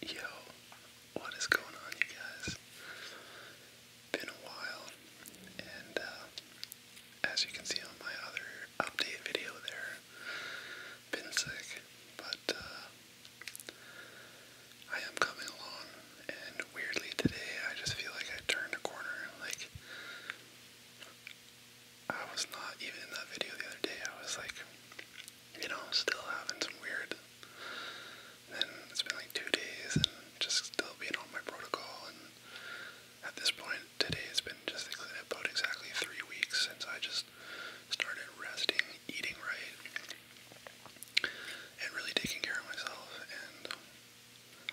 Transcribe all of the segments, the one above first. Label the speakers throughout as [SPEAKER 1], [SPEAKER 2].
[SPEAKER 1] Yo, what is going on, you guys? Been a while, and uh, as you can see on my other update video, there, been sick, but uh, I am coming along, and weirdly today, I just feel like I turned a corner. Like, I was not even in that video the other day, I was like, you know, still having some weird. Then it's been like two days and just still being on my protocol. And at this point, today it has been just about exactly three weeks since I just started resting, eating right, and really taking care of myself. And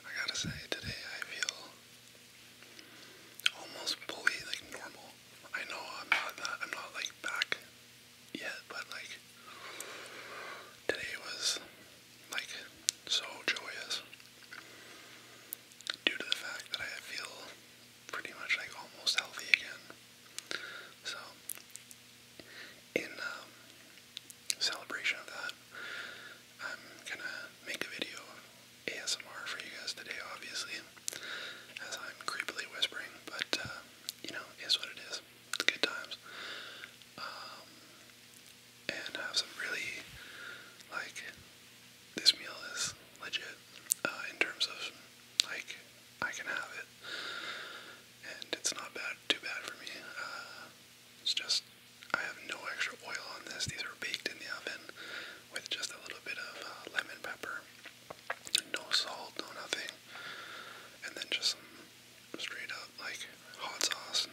[SPEAKER 1] I gotta say, today I feel almost fully like normal. I know I'm not that, I'm not like back yet, but like today was like so joyous due to the fact that I feel pretty much like almost healthy again. So, in um, celebration of that, I'm gonna make a video ASMR for you guys today, obviously, as I'm creepily whispering, but uh, you know, is what it is. good times. Um, and have some really, like, this meal is legit uh, in terms of, like, I can have it. And it's not bad, too bad for me. Uh, it's just, I have no extra oil on this. These are baked in the oven with just a little bit of uh, lemon pepper no salt, no nothing, and then just straight up like hot sauce.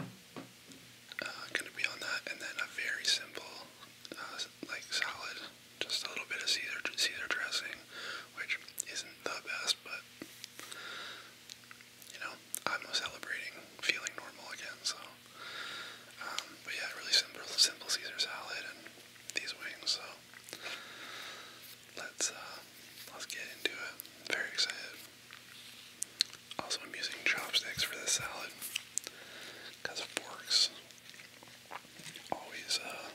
[SPEAKER 1] Uh, gonna be on that, and then a very simple uh, like salad, just a little bit of Caesar Caesar dressing, which isn't the best, but you know I'm celebrating feeling normal again, so. Um, but yeah, really simple, simple Caesar salad and these wings let's uh, let's get into it. very excited. Also, I'm using chopsticks for this salad because forks always uh,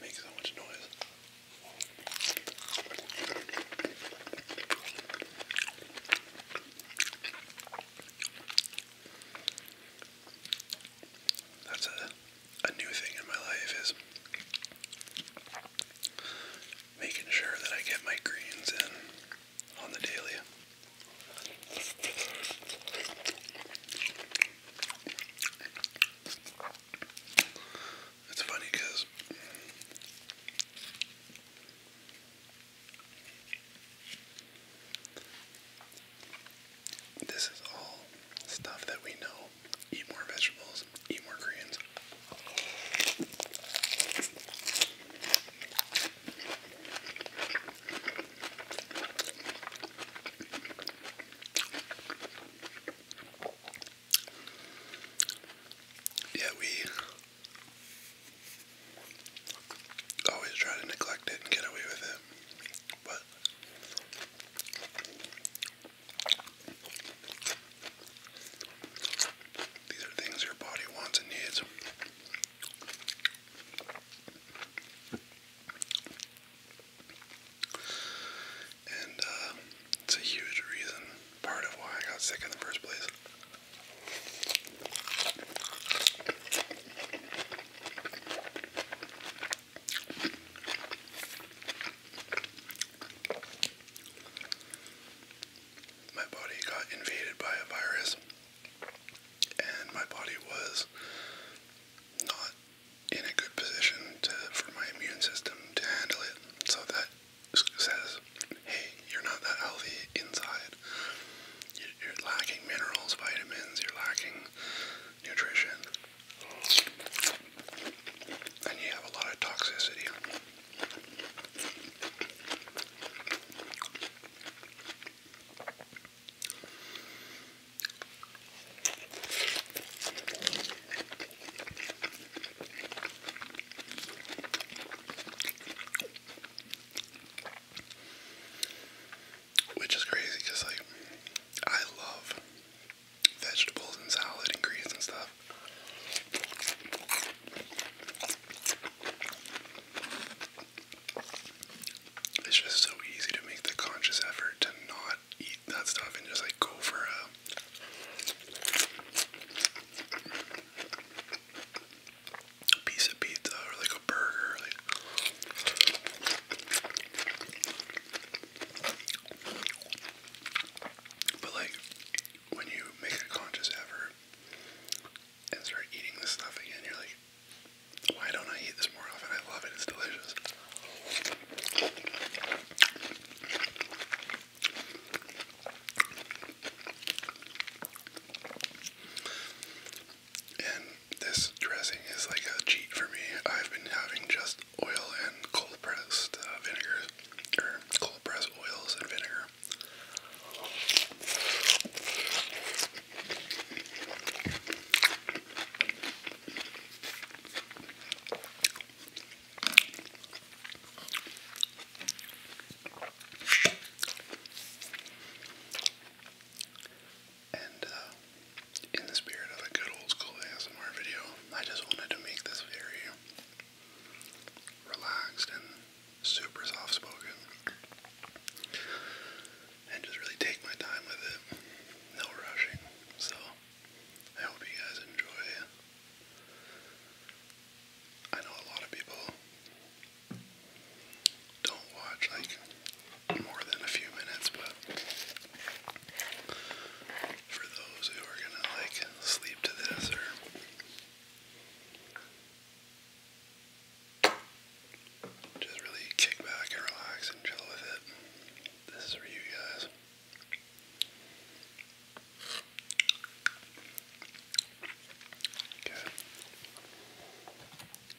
[SPEAKER 1] make so much noise. That's a, a new thing in my life is making sure that I get my greens in on the daily. It's funny because this is all stuff that we know. Eat more vegetables, eat more greens. Yeah, we always try to neglect it and get away with it. But these are things your body wants and needs. And uh, it's a huge reason, part of why I got sick in the first place. My body got invaded by a virus, and my body was not in a good position for my immune system to handle it. So that says, hey, you're not that healthy inside. You're lacking minerals, vitamins, you're lacking nutrition. And you have a lot of toxicity. Which is crazy because, like, I love vegetables and salad and greens and stuff. It's just so easy to make the conscious effort to not eat that stuff and just like go for a a piece of pizza or like a burger. But like when you make a conscious effort and start eating this stuff again, you're like, why don't I eat this more often? I love it, it's delicious. And this dressing is like a cheat for me. I've been having just oil and cold pressed uh, vinegar, or cold pressed oils and vinegar. And uh, in the spirit of a good old school ASMR video, I just wanted to make this very relaxed and super soft spoken. And just really take my time with it. No rushing. So, I hope you guys enjoy. I know a lot of people don't watch like more than a few minutes, but for those who are gonna like sleep to this or just really kick back and relax and chill with it, this is for you guys. Okay.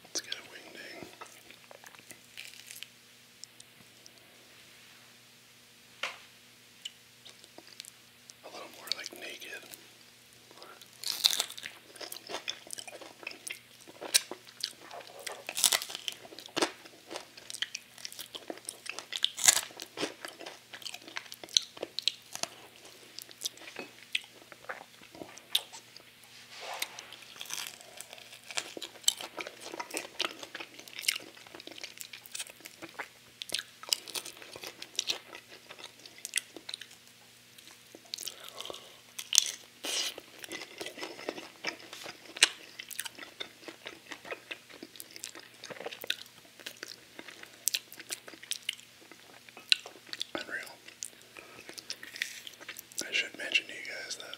[SPEAKER 1] Let's get a wingding. A little more like naked. Unreal. I should mention to you guys that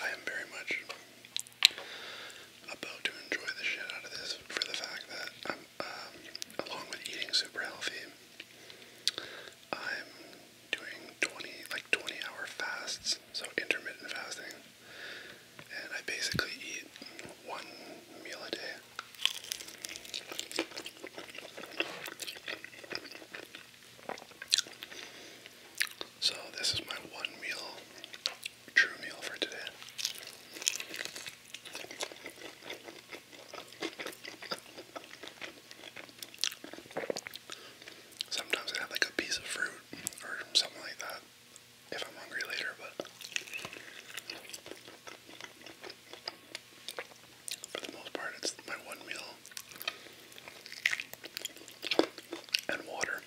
[SPEAKER 1] I am very much about to enjoy the shit out of this for the fact that I'm, um, along with eating super healthy, I'm doing 20, like 20 hour fasts, so intermittent fasting and I basically eat one meal a day. So, this is my one meal, true meal for today. Sometimes I have like a piece of fruit or something like that if I'm hungry later, but for the most part, it's my one meal and water.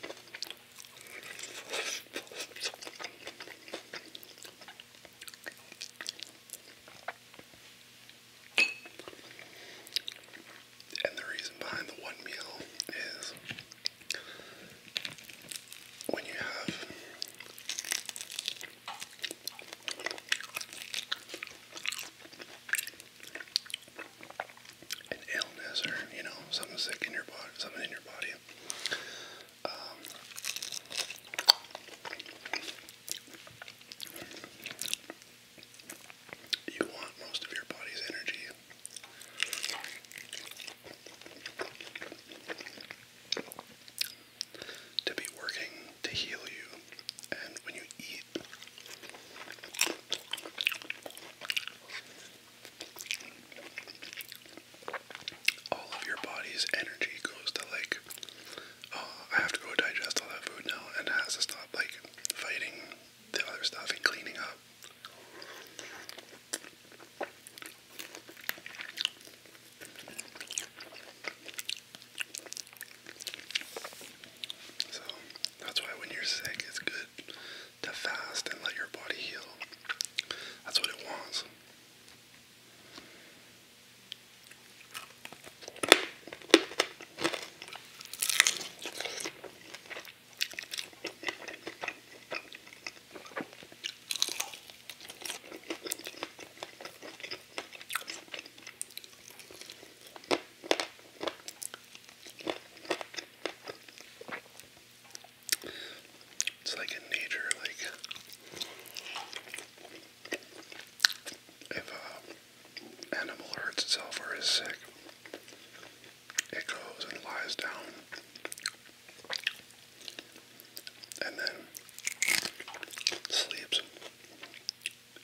[SPEAKER 1] And the reason behind the one meal is when you have an illness or you know something sick in your body, something in your body. Um, you want most of your body's energy to be working to heal you. And when you eat, all of your body's energy goes to like, oh, I have to go digest all that food now and has to stop like fighting the other stuff and cleaning up. So that's why when you're sick, it's good to fast and let your body heal. That's what it wants. It's like in nature, like if a uh, animal hurts itself or is sick, it goes and lies down, and then sleeps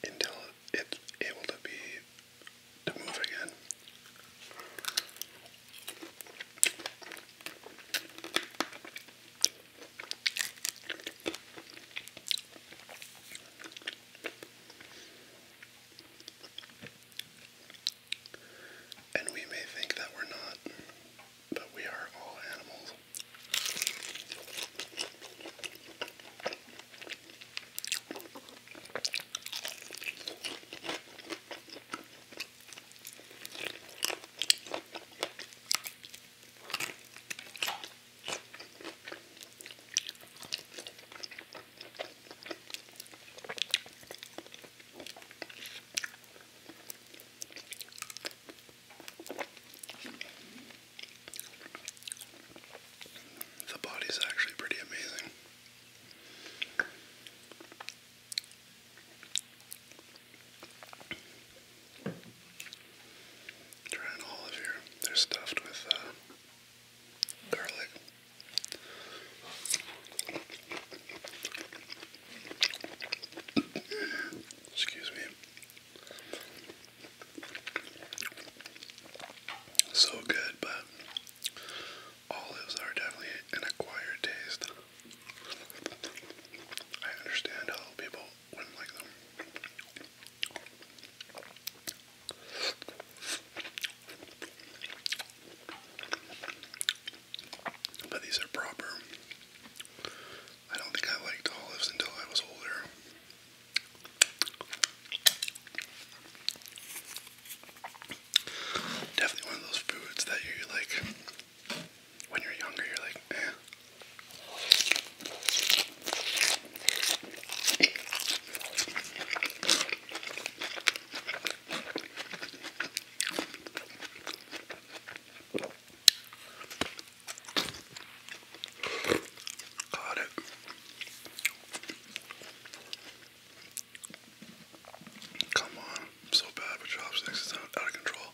[SPEAKER 1] until it's able to be to move again. And we may think that we're not, but we are all animals. The body's actually pretty amazing. Trying all of here. They're stuffed with uh, garlic. Excuse me. So good, but olives are definitely an acquired taste. I understand how people wouldn't like them. But these are proper. I don't think I liked olives until I was older. Definitely one of those foods that you like when you're younger, you're like, eh. Got it. Come on, so bad with chopsticks, it's out of control.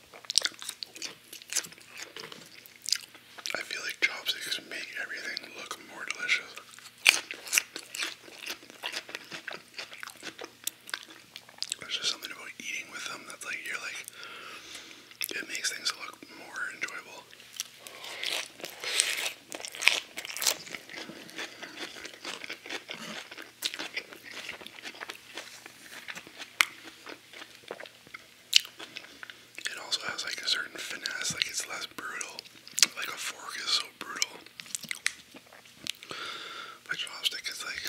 [SPEAKER 1] I feel like chopsticks make everything look more delicious. There's just something about eating with them that's like you're like it makes things look more enjoyable. It also has like a certain finesse, like it's less brutal. Like a fork is so brutal. My chopstick is like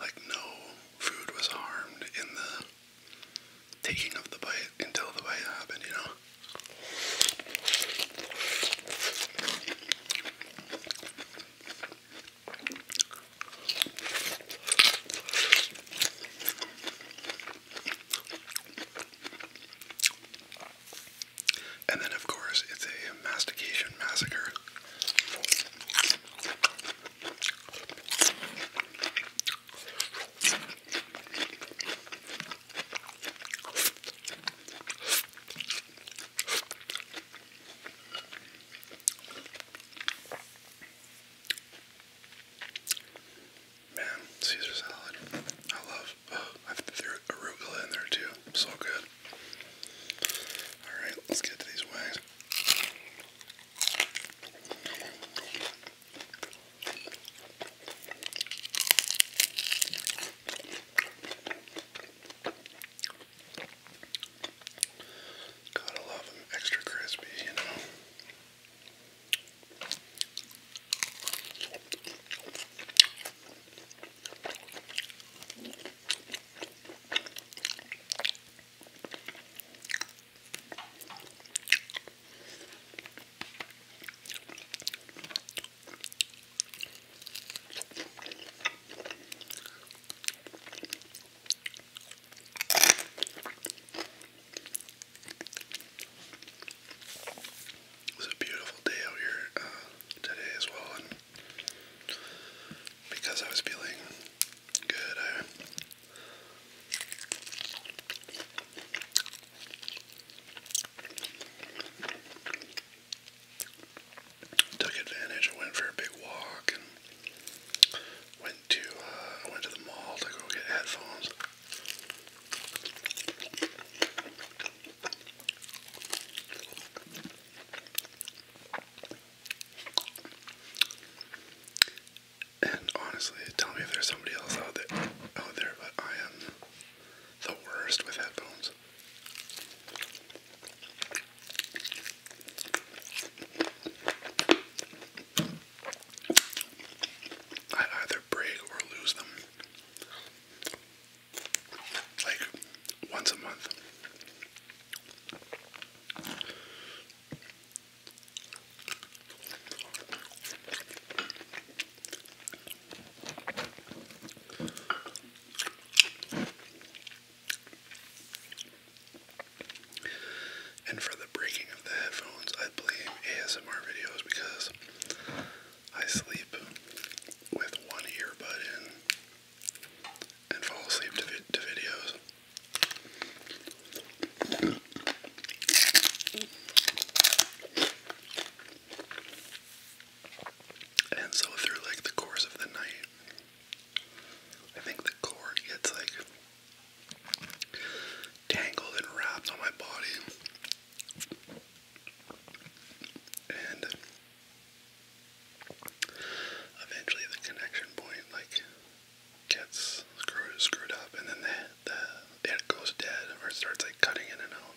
[SPEAKER 1] like no food was harmed in the taking of the bite until the bite happened, you know. And then, of course, it's a mastication massacre. Man, Caesar salad. I love. I threw arugula in there too. So good. All right, let's get to these wings. Gotta love them extra crispy, you know. It's a beautiful day out here uh, today as well, and because I was feeling good, I took advantage. I went for a big walk and went to uh, went to the mall to go get headphones. And honestly, tell me if there's somebody else out there, but I am the worst with headphones. I either break or lose them. Like once a month. And for the breaking of the headphones, I blame ASMR videos because I sleep with one earbud in and fall asleep to, to videos. And so through like the course of the night, I think the cord gets like tangled and wrapped on my body. And eventually the connection point like gets screwed, screwed up and then the, the, it goes dead or starts like cutting in and out.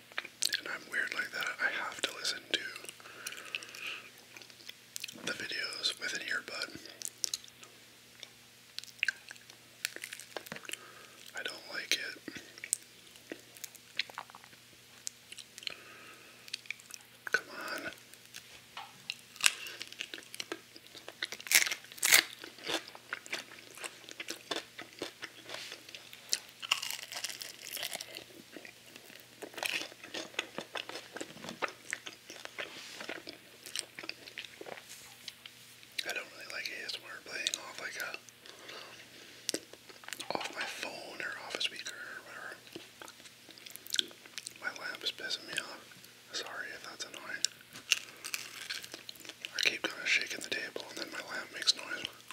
[SPEAKER 1] and I'm weird like that. I have to listen to the videos with an earbud. I don't like it. Come on. I don't really like ASMR playing off like a uh, off my phone or office speaker or whatever. My lamp is pissing me off. Sorry if that's annoying. I keep kind of shaking the table and then my lamp makes noise.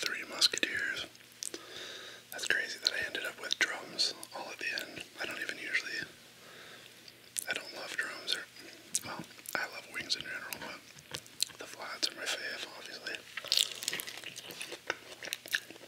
[SPEAKER 1] Three Musketeers. That's crazy that I ended up with drums all at the end. I don't even usually. I don't love drums, or. Well, I love wings in general, but the flats are my fave, obviously.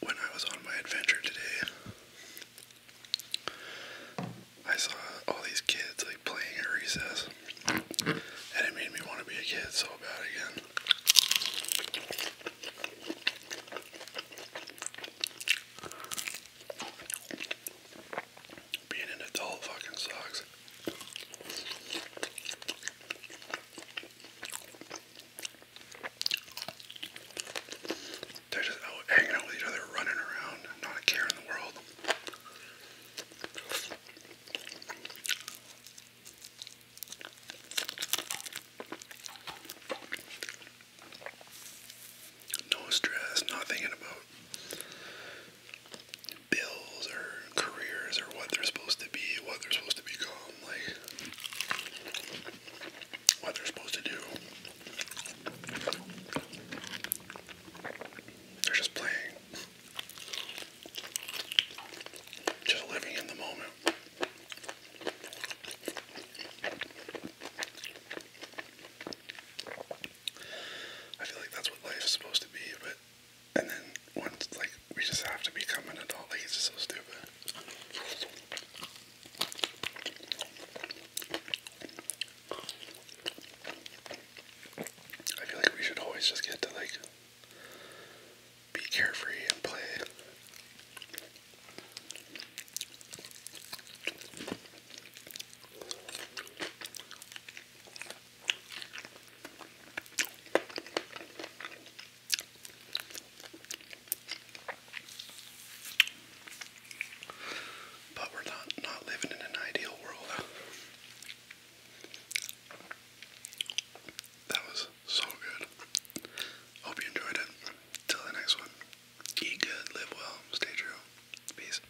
[SPEAKER 1] When I was on my adventure today, I saw all these kids like playing at recess, and it made me want to be a kid so bad again. Being an adult fucking sucks. They're just hanging out with each other, running around, not a care in the world. No stress, not thinking about bills or careers or what they're supposed to be, what they're supposed to become, like what they're supposed to do. They're just playing. Just living in the moment. I feel like that's what life is supposed to be, but and then once, like, we just have to become an adult. Like, it's just so stupid. I feel like we should always just get to, like, be carefree and play. But we're not not living in an ideal world. That was so good. Hope you enjoyed it. Till the next one. Eat good, live well, stay true. Peace.